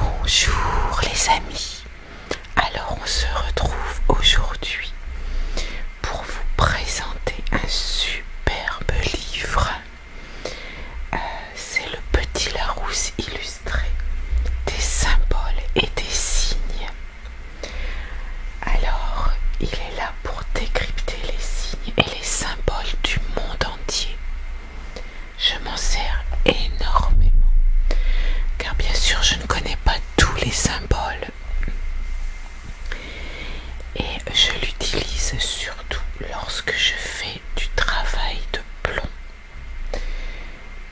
Bonjour les amis, alors on se retrouve aujourd'hui pour vous présenter un superbe livre. Euh, c'est le Petit Larousse illustré des symboles et des signes. Alors, il est là pour décrypter les signes et les symboles du monde entier. Je m'en sers énormément, car bien sûr, je ne connais pas tous les symboles. Et je l'utilise surtout lorsque je fais du travail de plomb.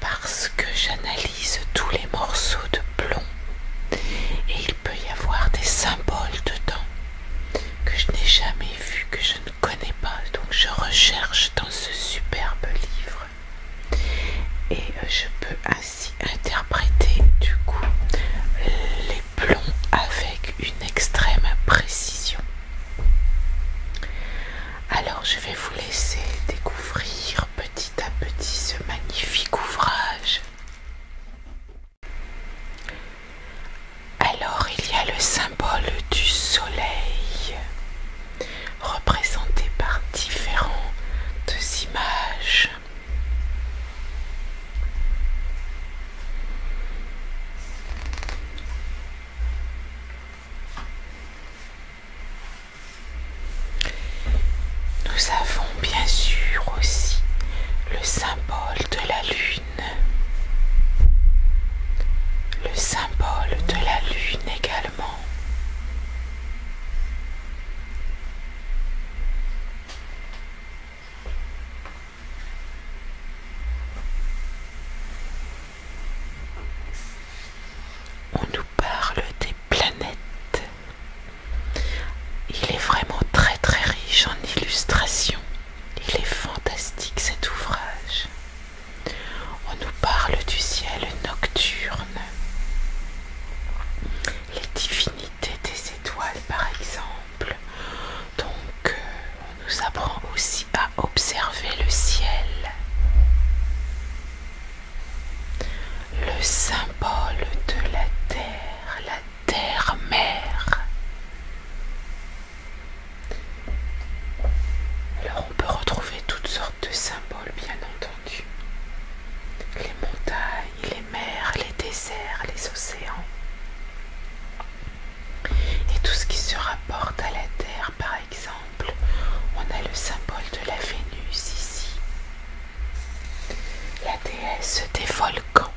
Parce que j'analyse tous les morceaux de plomb. Et il peut y avoir des symboles dedans que je n'ai jamais vus, que je ne connais pas. Donc je recherche dans ce superbe livre. Et euh, je peux ainsi interpréter du coup les plombs avec une extrême précision. Alors je vais vous laisser découvrir petit à petit ce magnifique ouvrage. Alors il y a le symbole du soleil, représenté par différentes images. Nous avons bien sûr aussi le symbole de la lune. Le symbole de la lune également. On nous parle des planètes il est vraiment très très riche en illustrations. Il est fantastique cet ouvrage. On nous parle du ciel nocturne, les divinités des étoiles par exemple. Donc euh, on nous apprend aussi à observer le ciel le symbole de la terre, la terre-mère. Alors on peut retrouver toutes sortes de symboles, bien entendu. Les montagnes, les mers, les déserts, les océans. Et tout ce qui se rapporte à la terre, par exemple, on a le symbole de la Vénus ici la déesse des volcans.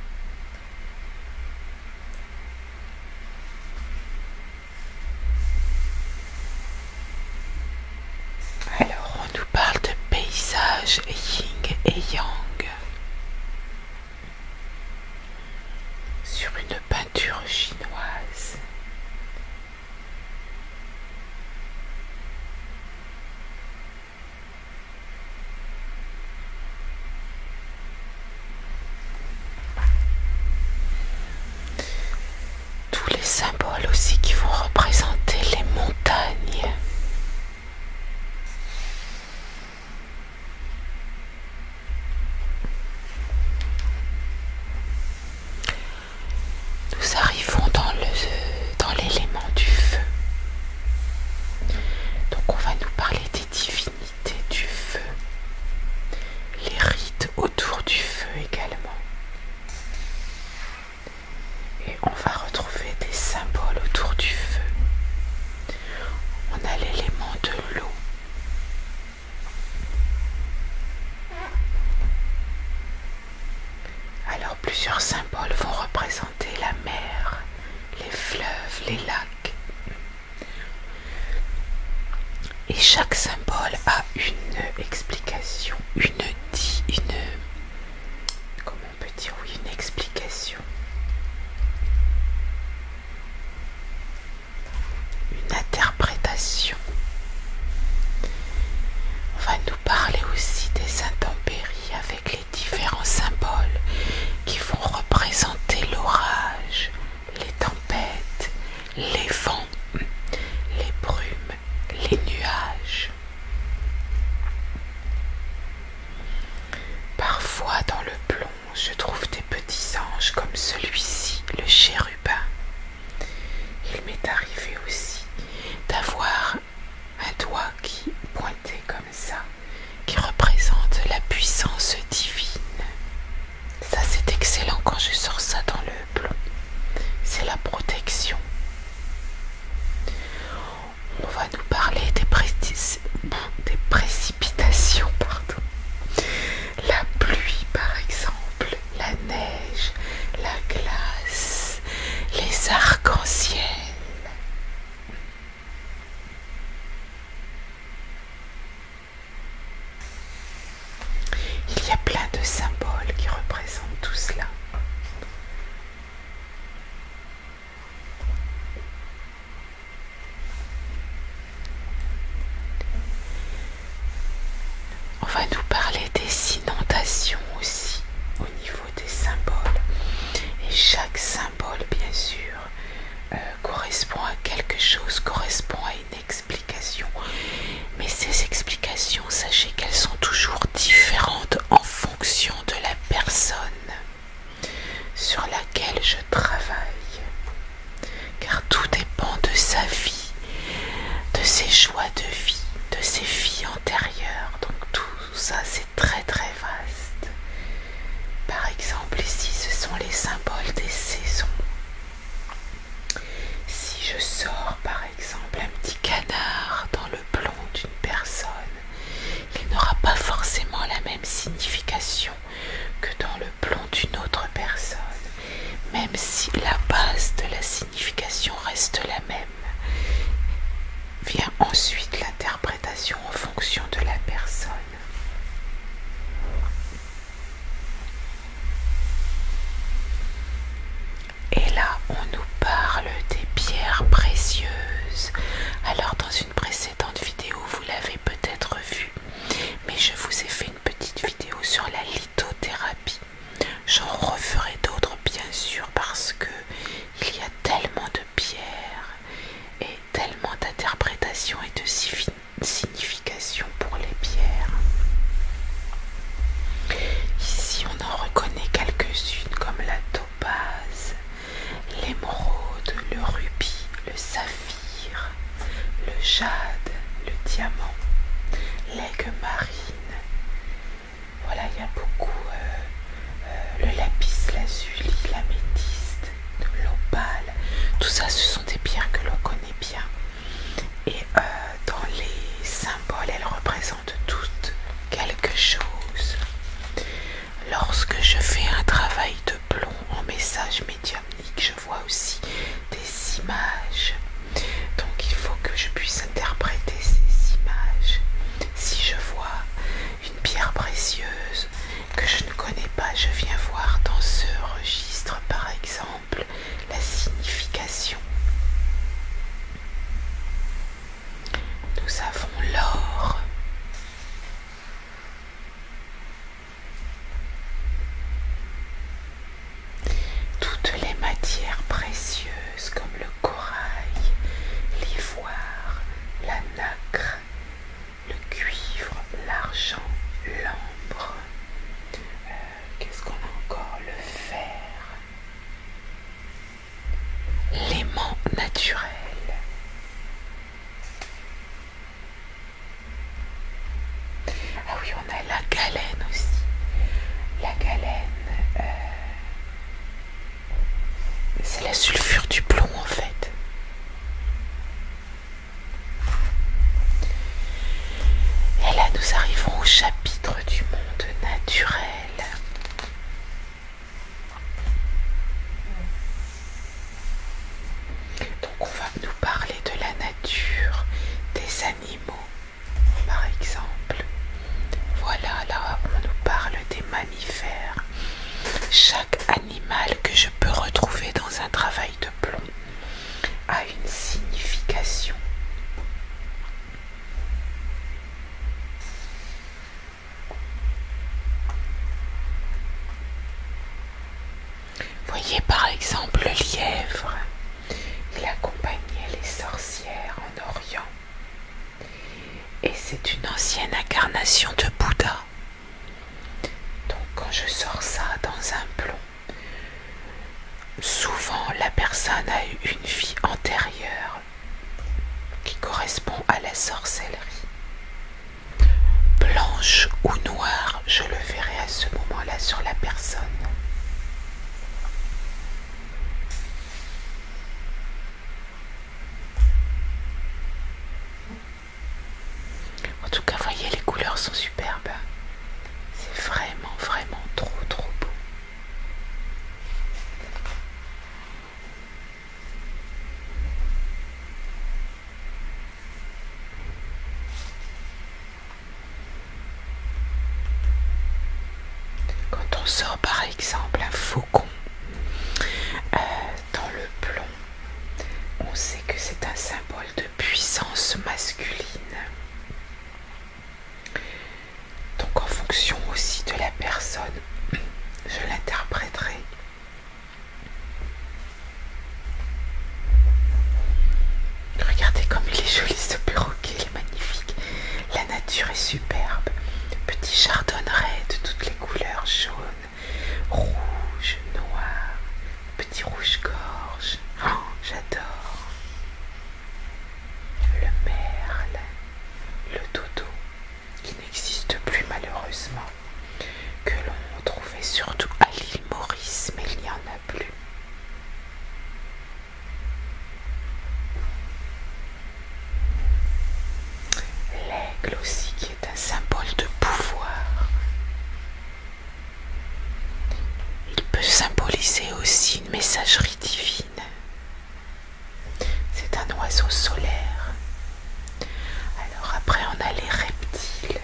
Alors, on nous parle de paysages ying et yang sur une peinture chinoise. Tous les symboles aussi qui vont représenter les montagnes. Nous arrivons dans l'élément du feu. Donc on va nous parler des divinités du feu. Les rites autour du feu également. Et on va retrouver des symboles autour du feu. On a l'élément de l'eau. Alors plusieurs symboles vont représenter la mer, les fleuves, les lacs. Et chaque symbole a une explication, une Comment on peut dire oui, une explication. Une interprétation parler aussi des intempéries avec les différents symboles qui vont représenter l'orage, les tempêtes, les vents, les brumes, les nuages. Parfois dans le plomb, je trouve des petits anges comme celui-ci, le chérubin. Il m'est arrivé aussi d'avoir un doigt qui pointé comme ça, qui représente la puissance divine. Ça c'est excellent quand je sors ça dans le plomb. C'est la protection. On va nous parler des, des précipitations, pardon. La pluie par exemple, la neige, la glace les arcs-en-ciel. Il y a plein de symboles qui représentent tout cela. On va nous parler des inondations aussi au niveau des symboles. Et chaque symbole, bien sûr, euh, correspond à quelque chose, correspond à une explication. Mais ces explications, sachez qu'elles sont toujours différentes en fonction de la personne sur laquelle je travaille. Car tout dépend de sa vie, de ses choix de vie, de ses vies antérieures donc tout ça c'est très très vaste. Par exemple ici ce sont les symboles des saisons. Si je sors par exemple un petit canard dans le plomb d'une personne, il n'aura pas forcément la même signification que dans le plomb d'une autre personne, même si la base de la signification reste la même. Vient ensuite l'interprétation en fonction de la personne. Et là, on nous parle des pierres précieuses. Alors, dans une précédente vidéo, vous l'avez peut-être vu, mais je vous ai fait une petite vidéo sur la lithothérapie. J'en referai d'autres bien sûr parce qu'il y a tellement de pierres et tellement d'interprétations et de significations pour les pierres. Ici on en reconnaît quelques-unes comme la topaze, l'émeraude, le rubis, le saphir, le jade, le diamant, l'aigle marine, voilà, il y a beaucoup euh, euh, le lapis lazuli, l'améthyste, l'opale. Tout ça, ce sont des pierres que l'on connaît bien. Et euh, dans les symboles, elles représentent toutes quelque chose. Lorsque je fais un travail de plomb en message médiumnique, je vois aussi des images donc il faut que je puisse interpréter ces images. Si je vois une pierre précieuse que je ne connais pas, je viens voir dans ce registre par exemple la signification. Nous avons l'or. Toutes les matières précieuses comme le corail, l'ivoire, la nacre, le cuivre, l'argent, l'ambre. Euh, qu'est-ce qu'on a encore Le fer. L'aimant naturel. Ah oui, on a la galène aussi. La galène. Euh, c'est la sulfure du plomb en fait. Et là nous arrivons au chapitre du monde naturel. Donc on va nous parler de la nature, des animaux, par exemple, voilà là on nous parle des mammifères. Chaque animal que je peux retrouver dans un travail de plomb a une signification. Voyez par exemple le lièvre, il accompagnait les sorcières Orient. Et c'est une ancienne incarnation de Bouddha. Donc quand je sors ça dans un plomb, souvent la personne a eu une vie antérieure qui correspond à la sorcellerie. Blanche ou noire, je le verrai à ce moment-là sur la personne. En tout cas, voyez, les couleurs sont superbes. C'est vraiment, vraiment trop, trop beau. Quand on sort par exemple un faucon euh, dans le plomb, on sait que c'est un symbole de puissance masculine. Donc en fonction aussi de la personne, je l'interpréterai. Regardez comme il est joli ce perroquet, il est magnifique. La nature est superbe. Petit chardonneret de toutes les couleurs jaune, rouge, noir, petit rouge-gorge. Oh, j'adore. Le merle, le dodo, qui n'existe plus malheureusement, que l'on trouvait surtout à l'île Maurice, mais il n'y en a plus. L'aigle aussi qui est un symbole de pouvoir. Il peut symboliser aussi une messagerie divine. C'est un oiseau solaire. Alors après on a les reptiles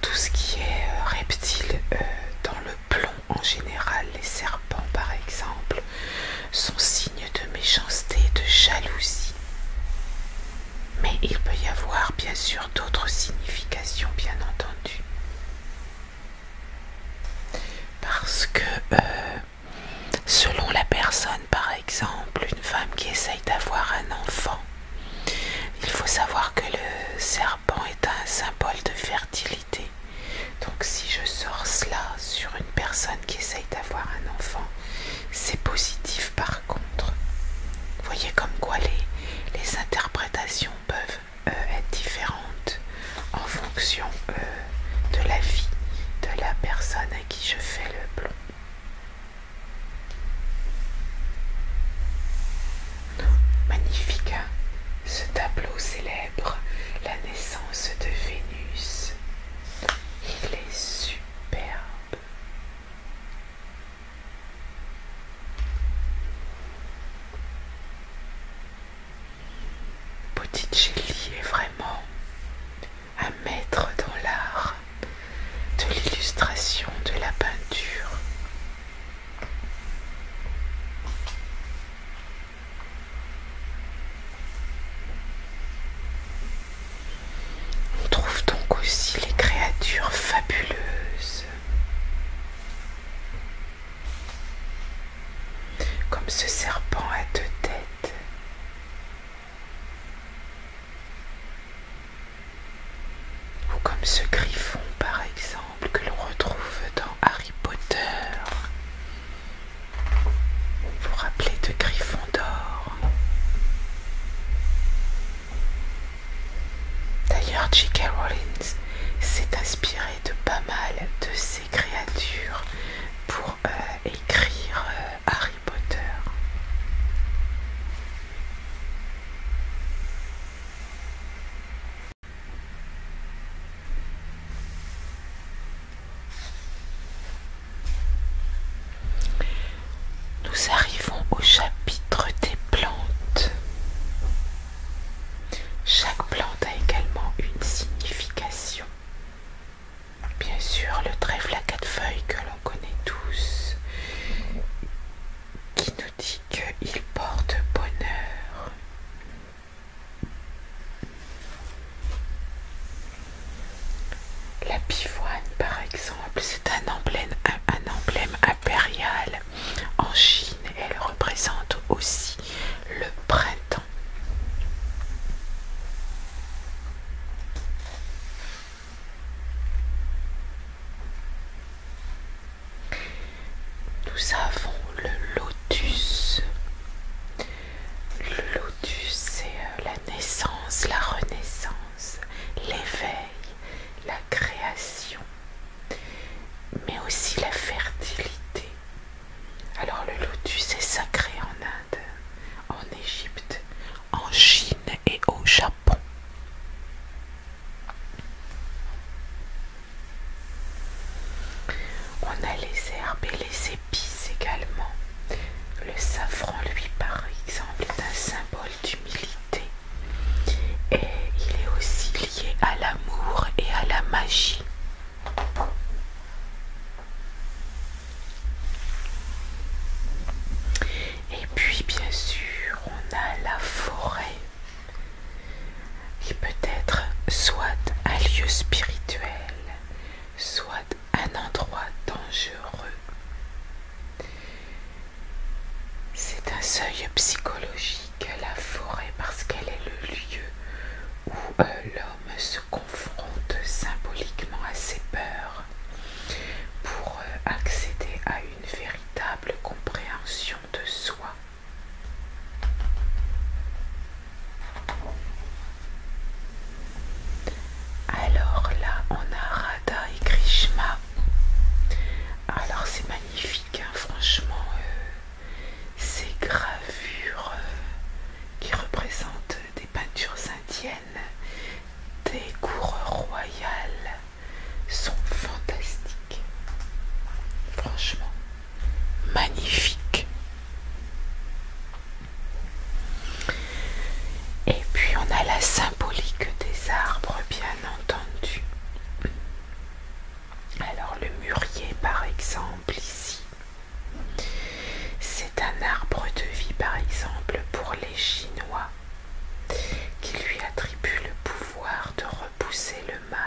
tout ce qui est euh, reptile euh, dans le plomb en général, les serpents par exemple, sont signes de méchanceté, de jalousie. Mais il peut y avoir bien sûr d'autres significations, bien entendu. Parce que euh, selon la personne, par exemple, une femme qui essaye d'avoir un enfant, il faut savoir que le serpent est un symbole de fertilité. Donc si je sors cela sur une personne qui essaye d'avoir un enfant, c'est positif par contre. Vous voyez comme quoi les, interprétations peuvent euh, être différentes en fonction euh, de la vie de la personne à qui je fais le plomb. Magnifique, hein. ce tableau célèbre la naissance de Vénus. Il est superbe. Botticelli est vraiment un maître dans l'art de l'illustration, de la peinture. On trouve donc aussi les créatures fabuleuses, comme ce serpent à deux têtes. Ou comme ce griffon par exemple que l'on retrouve dans Harry Potter. Vous vous rappelez de griffon d'or D'ailleurs, J.K. Rollins s'est inspiré de pas mal de ces créatures pour euh, écrire euh, Harry Potter. Nous arrivons au chapitre des plantes. Chaque plante a également une signification. Bien sûr, le trèfle à quatre feuilles que l'on connaît tous qui nous dit qu'il porte bonheur. La pivoine, par exemple, c'est un emblème, impérial en Chine. Elle représente aussi le printemps. Nous avons le lotus. Le lotus, c'est euh, la naissance, la renaissance, l'éveil, la création, mais aussi la fertilité. Alors le lotus est sacré en Inde, en Égypte, en Chine et au Japon. On a les herbes et les épices également. Le safran, lui, par exemple, est un symbole d'humilité. Et il est aussi lié à l'amour et à la magie. Et puis bien sûr, on a la forêt il peut-être soit un lieu spirituel, soit un endroit dangereux. C'est un seuil psychologique, la forêt, parce qu'elle est le lieu où euh, l'homme se confronte symboliquement à ses peurs pour euh, accéder à une une véritable compréhension de soi. Alors là, on a Radha et Krishma Alors c'est magnifique, hein, franchement, euh, ces gravures euh, qui représentent des peintures indiennes, des cours royales, sont fantastiques. Franchement, magnifiques. Et puis on a la symbolique des arbres, bien entendu. Alors le mûrier, par exemple, ici, c'est un arbre de vie, par exemple, pour les Chinois qui lui attribue le pouvoir de repousser le mal.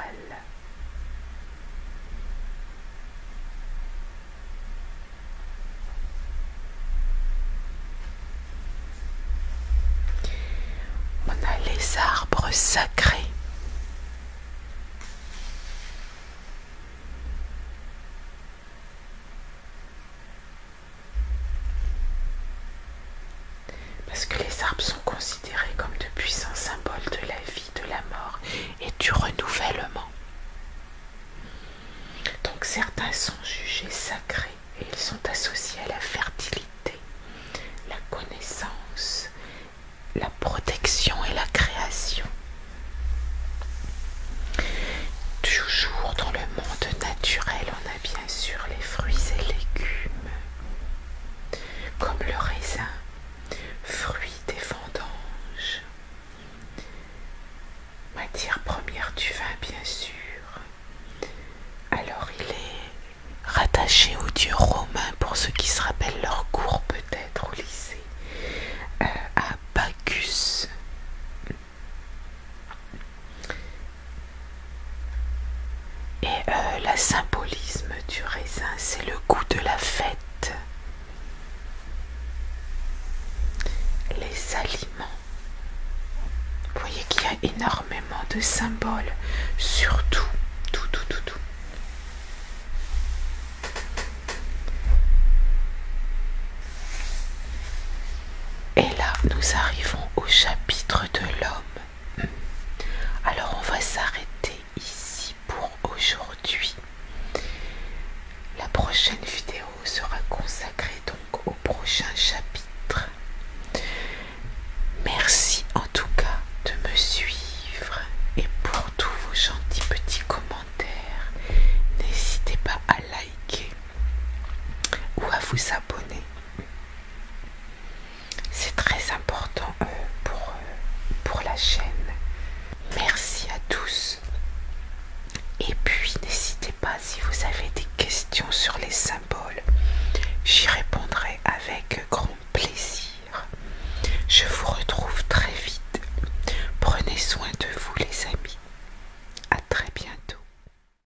On a les arbres sacrés. Parce que les arbres sont considérés comme de puissants symboles de la vie, de la mort et du renouvellement. Donc certains sont jugés sacrés et ils sont associés à la fertilité, la connaissance, la protection et la création. Toujours dans le monde naturel, on bien sûr les fruits et légumes, comme le raisin, fruit des vendanges, matière première du vin bien sûr. Alors il est rattaché aux dieux romains pour ceux qui se rappellent leur cours peut-être au lycée, euh, à Bacchus. Et le euh, la symbolisme du raisin, c'est le goût de la fête. Les aliments. Vous voyez qu'il y a énormément de symboles, surtout tout, tout, tout, tout. Et là, nous arrivons au chapitre de l'homme. Hmm. Alors, on va s'arrêter ici pour aujourd'hui. La prochaine vidéo sera consacrée donc au prochain chapitre. Merci en tout cas de me suivre et pour tous vos gentils petits commentaires, n'hésitez pas à liker ou à vous abonner. C'est très important euh, pour, euh, pour la chaîne. Merci à tous. Et puis n'hésitez pas si vous avez des questions sur les symboles. J'y répondrai avec grand plaisir. Je vous retrouve très vite. Prenez soin de vous les amis. À très bientôt.